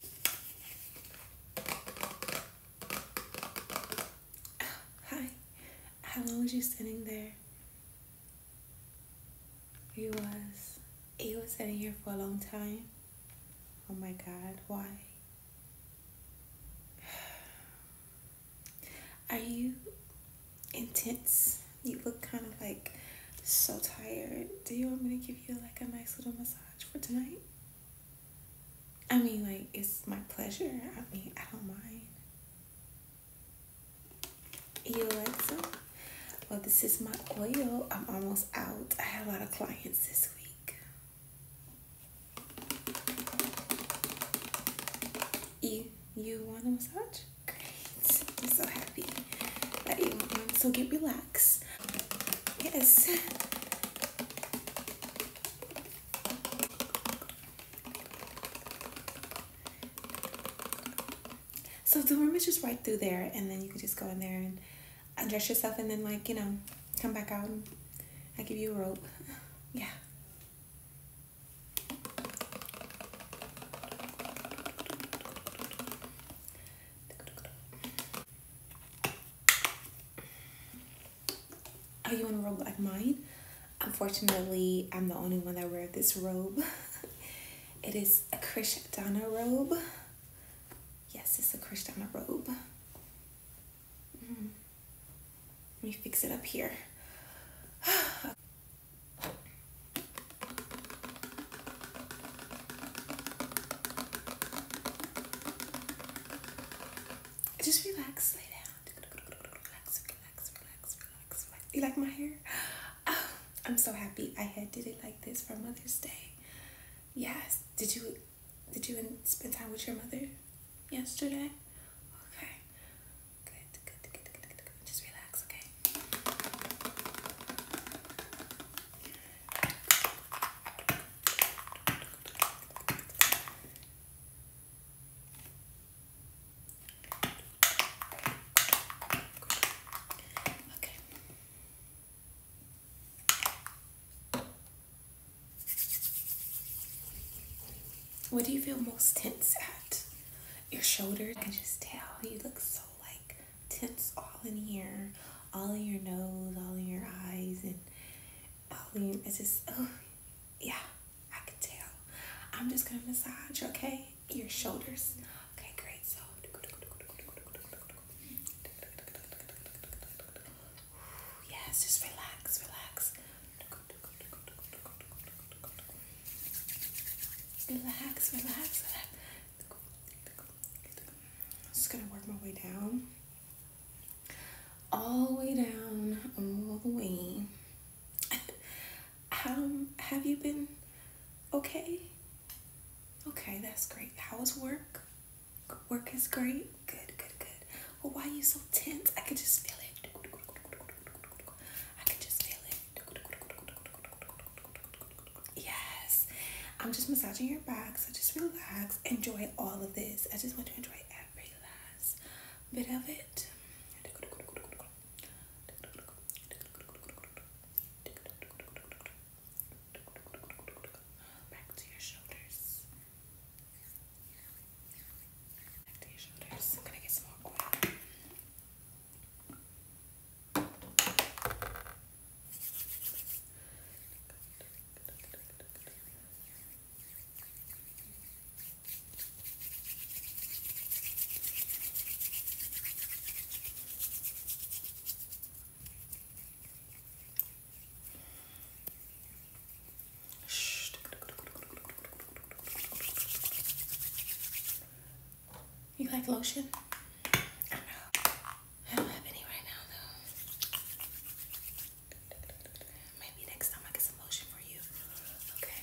hi. How long was you sitting there? You was you was sitting here for a long time. Oh my god, why? Are you intense? You look kind of like so tired. Do you want me to give you like a nice little massage? for tonight? I mean, like, it's my pleasure. I mean, I don't mind. You like some? Well, this is my oil. I'm almost out. I have a lot of clients this week. You, you want a massage? Great. I'm so happy that you want one. So get relaxed. Yes. So the room is just right through there, and then you can just go in there and undress yourself, and then like you know, come back out. and I give you a rope. Yeah. Are oh, you in a robe like mine? Unfortunately, I'm the only one that wear this robe. it is a Krishdana robe. Yes, it's a Krishna robe. Mm-hmm. Let me fix it up here. Just relax, lay down. Relax, relax, relax, relax, relax. You like my hair? Ah, I'm so happy I had did it like this for Mother's Day. Yes. Did you did you spend time with your mother yesterday? Okay. good, good, good. Just relax, okay? What do you feel most tense at? your shoulders I can just tell you look so like tense all in here, all in your nose, all in your eyes, and all in your, it's just oh yeah, I can tell. I'm just gonna massage, okay? Your shoulders. Okay, great. So yes, just relax, relax. Relax, relax, I'm just gonna work my way down. All the way down, all the way. um, have you been okay? Okay, that's great. How was work? Work is great. Good, good, good. Well, why are you so tense? I could just feel it. I could just feel it. Yes. I'm just massaging your back, so just relax. Enjoy all of this. I just want you to enjoy every last bit of it. Back to your shoulders. After your shoulders. I'm gonna get some more oil. You like lotion? I don't have any right now though. Maybe next time I get some lotion for you. Okay.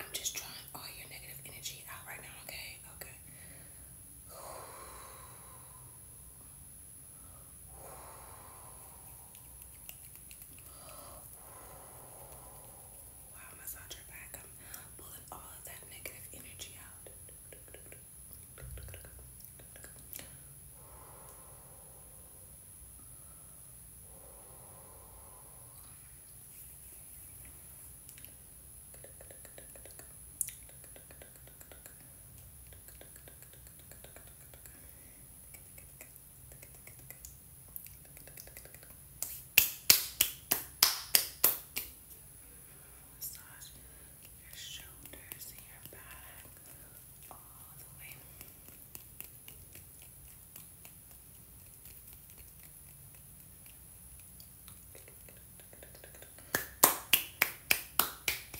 I'm just drawing all your negative energy out right now, okay? Okay. Wow, massage your back. I'm pulling all of that negative energy out. Massage your shoulders and your back all the way. Good, good, good, good, good, good.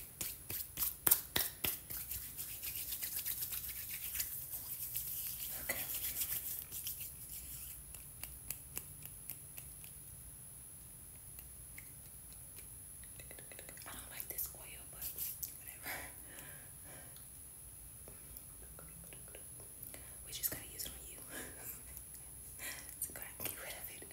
Okay. I don't like this oil, but whatever. We're just gonna use it on you. so go get rid of it.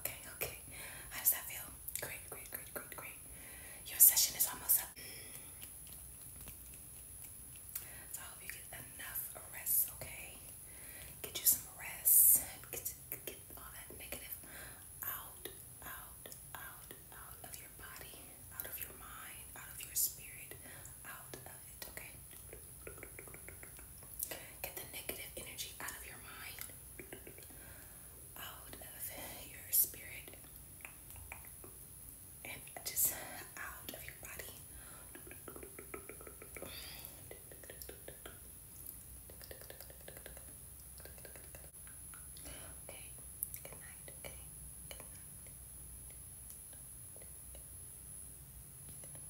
Okay, okay. How does that feel? Great, great, great, great, great. Your session is almost up. So I hope you get enough rest, okay? Get you some rest. Get, get all that negative out, out, out, out of your body, out of your mind, out of your spirit, out of it, okay? Get the negative energy out of your mind, out of your spirit, and just out of your body. Okay, good night, okay, good night.